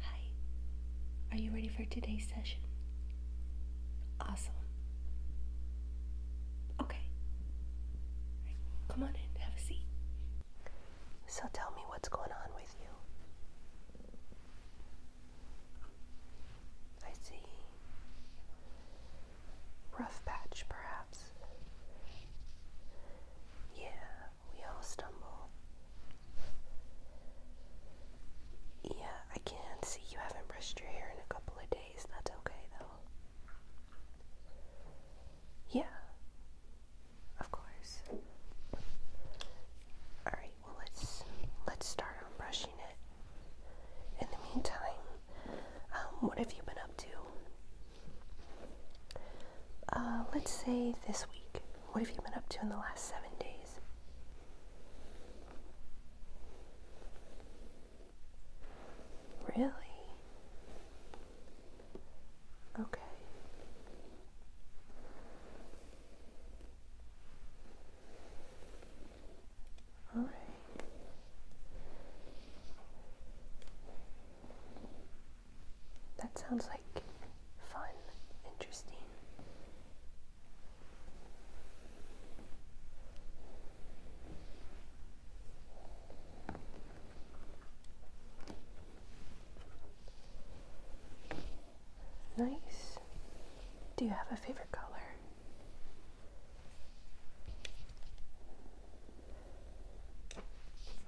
Hi, are you ready for today's session? Awesome. Okay. come on in, have a seat. So tell me what's going on with you. I see. Rough patch, perhaps. Yeah, we all stumble. Yeah, I can see you haven't brushed your hair in a couple of days. That's okay, though. Yeah, of course. All right. Well, let's let's start on brushing it. In the meantime, um, what have you been up to? Uh, let's say this week. What have you been up to in the last seven days? Really? Okay. All right. That sounds like fun, interesting. Nice. Do you have a favorite color?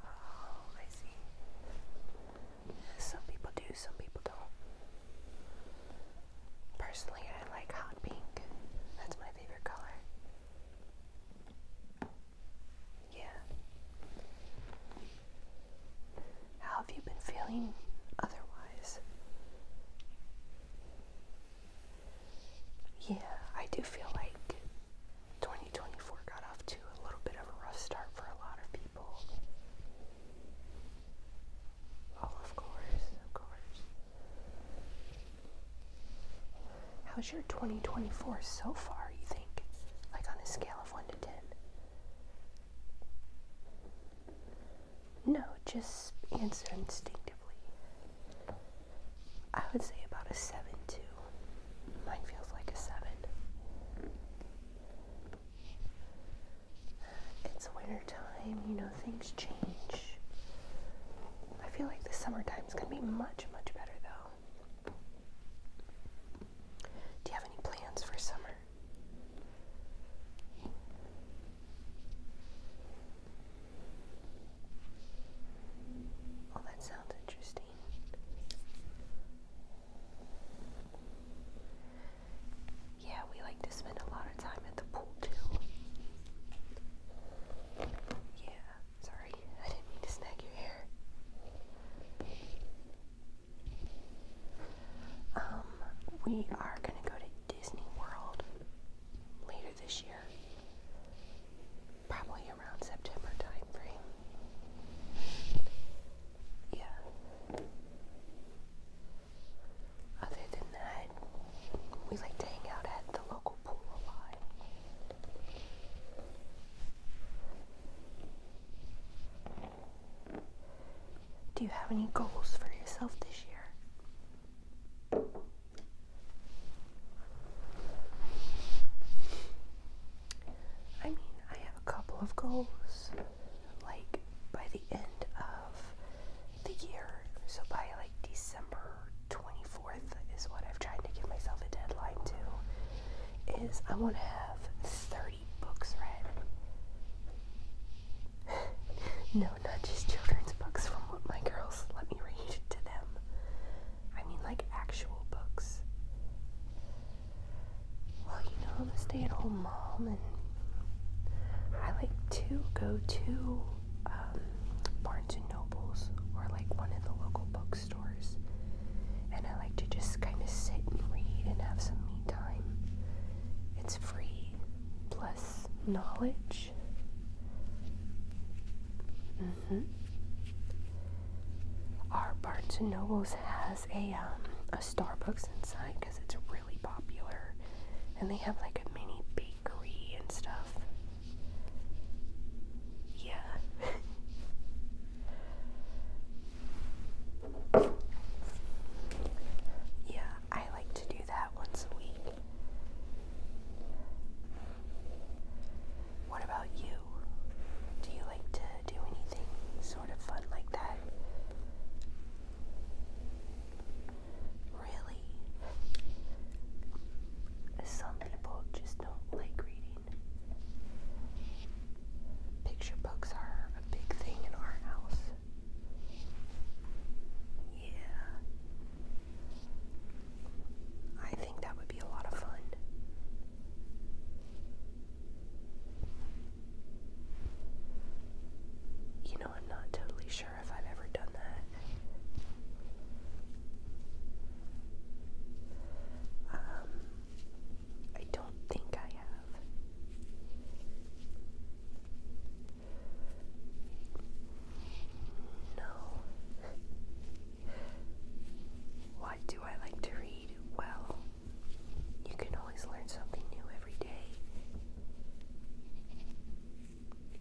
Oh, I see. Some people do, some people don't. Personally, I like hot pink. That's my favorite color. Yeah. How have you been feeling otherwise? Yeah, I do feel like 2024 got off to a little bit of a rough start for a lot of people. Oh, of course, of course. How's your 2024 so far, you think? Like on a scale of 1 to 10? No, just answer instinctively. I would say about a 7 too. Mine feels like a 7. It's wintertime, you know, things change. I feel like the summertime's gonna be much, much better though. Do you have any plans for summer? Oh, that sounds interesting. Yeah, we like to spend a lot of time at the pool too. Yeah, sorry, I didn't mean to snag your hair. Um, we are gonna go to Disney World later this year. Probably around September time Yeah. Other than that, we like to hang out at the local pool a lot. Do you have any goals for yourself this year? I mean, I have a couple of goals, like by the end of the year. So by like December 24th is what I've tried to give myself a deadline to. Is I want to have 30 books read. no, not just children's books from what my girls let me read to them. I mean, like actual books. Well, you know, I'm a stay at home mom, and I like to go to um, Barnes and Nobles or like one of the local bookstores. And I like to just kind of sit and read and have some me time. It's free plus knowledge. Mm hmm. Our Barnes and Nobles has a um, a Starbucks inside because it's really popular, and they have like a mini bakery and stuff. Yeah. yeah, I like to do that once a week. What about you? Do you like to do anything sort of fun like that? Really? Some people just don't like reading. Picture books are a big thing in our house. Yeah. I think that would be a lot of fun. You know, I'm not totally sure if I've ever done that. Um, I don't think I have. No. What do I like to read? Well, you can always learn something new every day.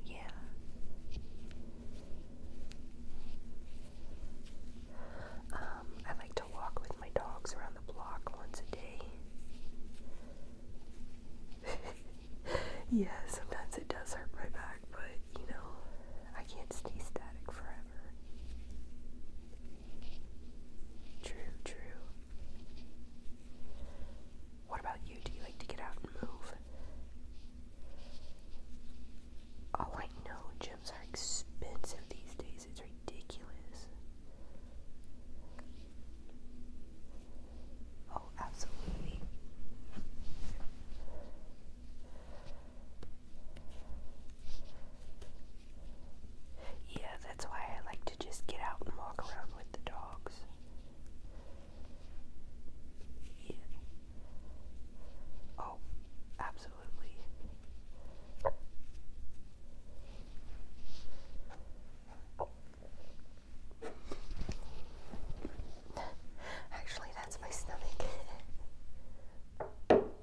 Yeah. Um, I like to walk with my dogs around the block once a day. yeah, sometimes it does hurt my back, but you know, I can't stay static forever. True, true. What about you? Do you like to get out and move? Oh, I know gyms are expensive these days. It's ridiculous. Oh, absolutely. Yeah, that's why I like to just get out and walk around with the dogs. Yeah. Oh, absolutely. Actually, that's my stomach.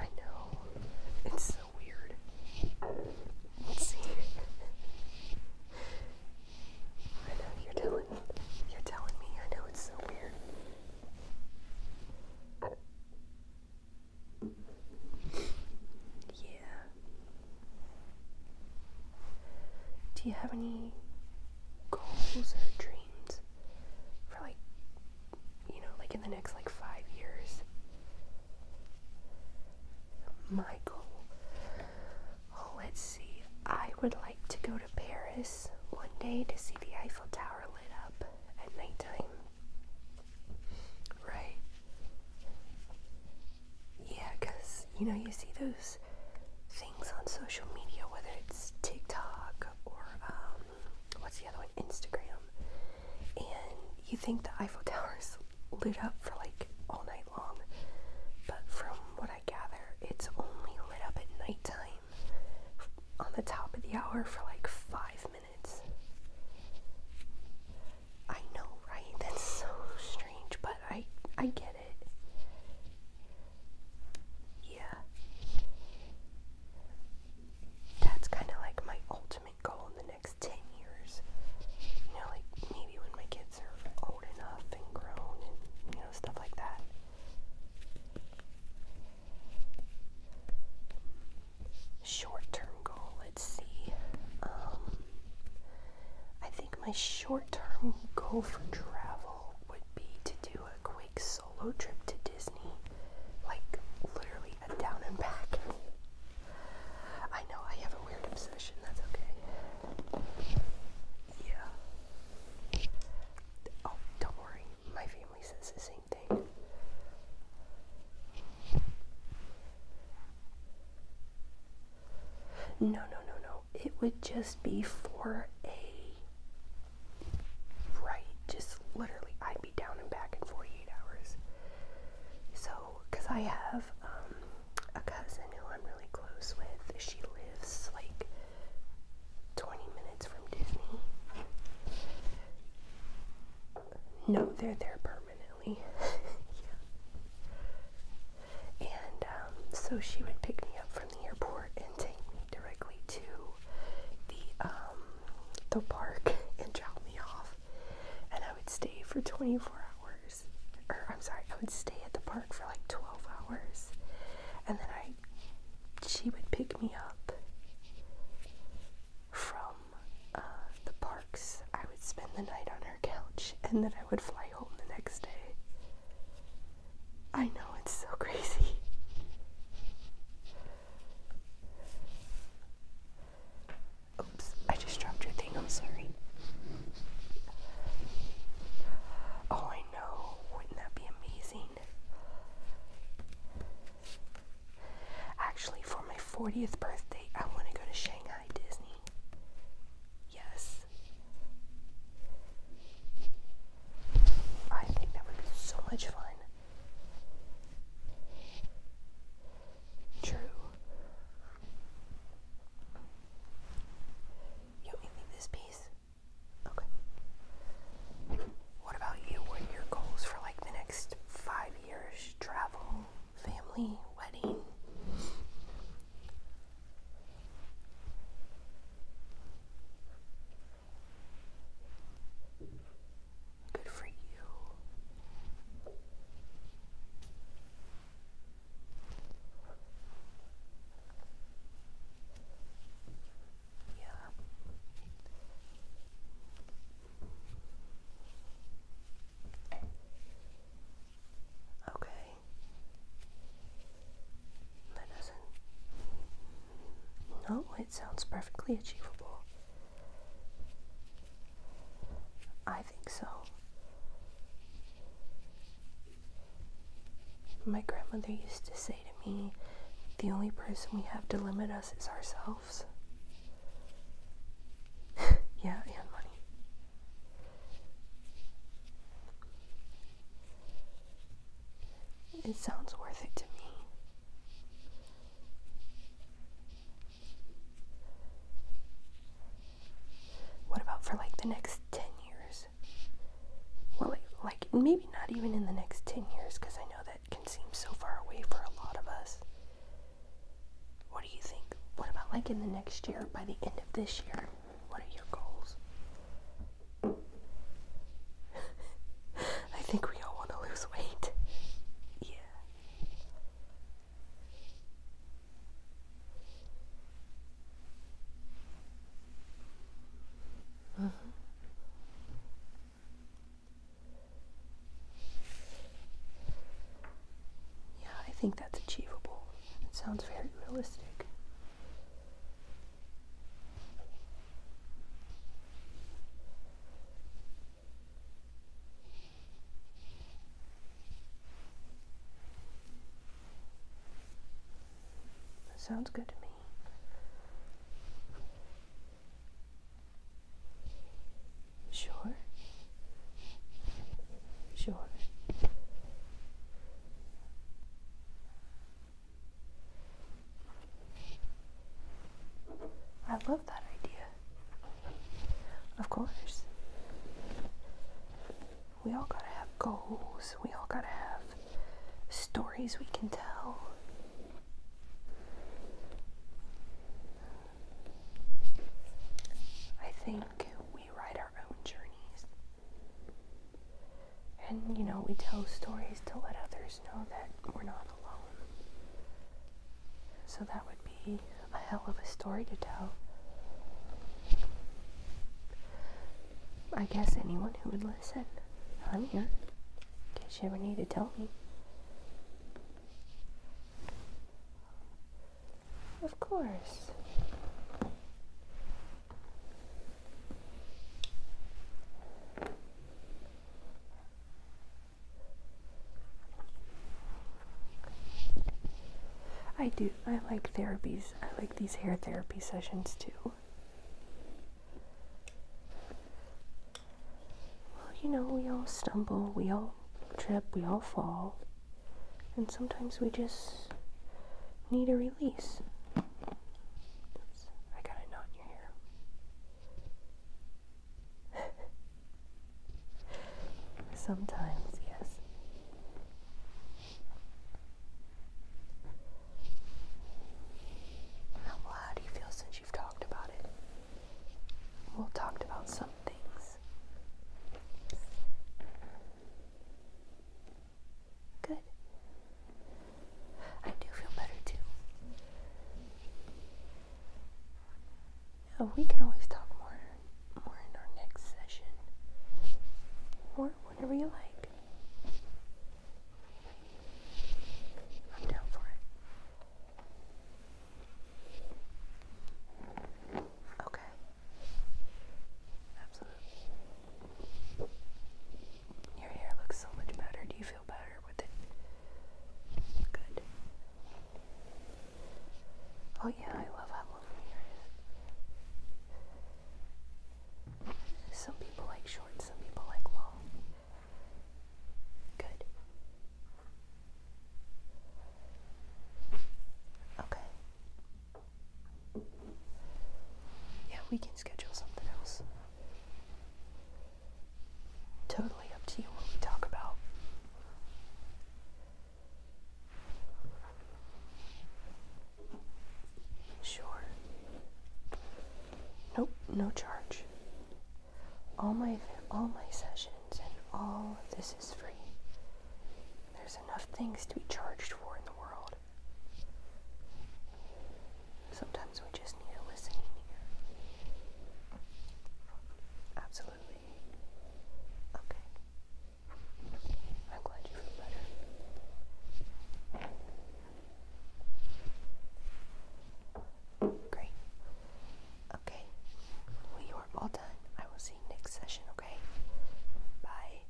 I know. It's so weird. Let's see. I know you're telling you're telling me I know it's so weird. Yeah. Do you have any goals or dreams for like, you know, like in the next like five years. My goal. Oh, let's see. I would like to go to Paris one day to see the Eiffel Tower lit up at nighttime. Right? Yeah, because, you know, you see those on social media, whether it's TikTok or um, what's the other one, Instagram, and you think the Eiffel Tower's lit up for like all night long, but from what I gather, it's only lit up at nighttime on the top of the hour for like five minutes. I know, right? That's so strange, but I I get it. Yeah. That's kind of like my ultimate goal in the next 10 years. You know, like maybe when my kids are old enough and grown and, you know, stuff like that. Short term goal, let's see. Um, I think my short term goal for travel would be to do a solo trip to Disney. Like, literally a down and back. I know I have a weird obsession, that's okay. Yeah. Oh, don't worry, my family says the same thing. No, no, no, no it would just be for a right. Just literally, I'd be down and back in 48 hours. So, because I have um, a cousin who I'm really close with, she lives like 20 minutes from Disney. No, they're there permanently. yeah. And um, so she would pick me up from the airport and take me directly to the um, the park and drop me off, and I would stay for 24 hours. Or I'm sorry, I would stay at the park for like 12 hours, and then I she would pick me up from uh, the parks. I would spend the night on her couch, and then I would fly home the next day. I know it's so crazy. Oops, I just dropped your thing. I'm sorry. Oh, I know. Wouldn't that be amazing? Actually, for my 40th birthday, I want to go to Shanghai Disney. Yes. I think that would be so much fun. True. You want me this piece? Okay. What about you? What are your goals for like the next five years? Travel, family, wedding? Good for you. Yeah. Okay. That doesn't. No, it sounds perfectly achievable. I think so. My grandmother used to say to me, the only person we have to limit us is ourselves. yeah, and money. It sounds worth it to me. What about for like the next 10 years? Well, like, maybe not even in the next 10 years because I know that can seem so far away for a lot of us. What do you think? What about like in the next year, by the end of this year? What are your goals? I think we all want to lose weight. Yeah. Yeah, I think that's achievable. It sounds very realistic. That sounds good to me. Sure. Sure. I love that idea. Of course. We all gotta have goals. We all gotta have stories we can tell. I think we write our own journeys. And, you know, we tell stories to let others know that we're not alone. So that would be a hell of a story to tell. I guess anyone who would listen. I'm here. In case you ever need to tell me. Of course. I do. I like therapies. I like these hair therapy sessions too. Well, you know, we all stumble, we all trip, we all fall. And sometimes we just need a release. Oops, Sometimes, yes. How, how do you feel since you've talked about it? We'll talked about some things. Good. I do feel better too. we can always talk more, more in our next session, or whenever you like. I'm down for it. Okay. Absolutely. Your hair looks so much better. Do you feel better with it? Good. Oh, yeah, I love how long your hair is. Some people like short, some people like long. Good. Okay. Yeah, we can schedule something else. Totally up to you what we talk about. Sure. Nope, no charge. All my all my sessions and all this is free. There's enough things to be charged for in the world. Sometimes we just need a listening ear. Absolutely. Okay. I'm glad you feel better. Great. Okay. Well, you are all done. I will see you next session, okay? Bye.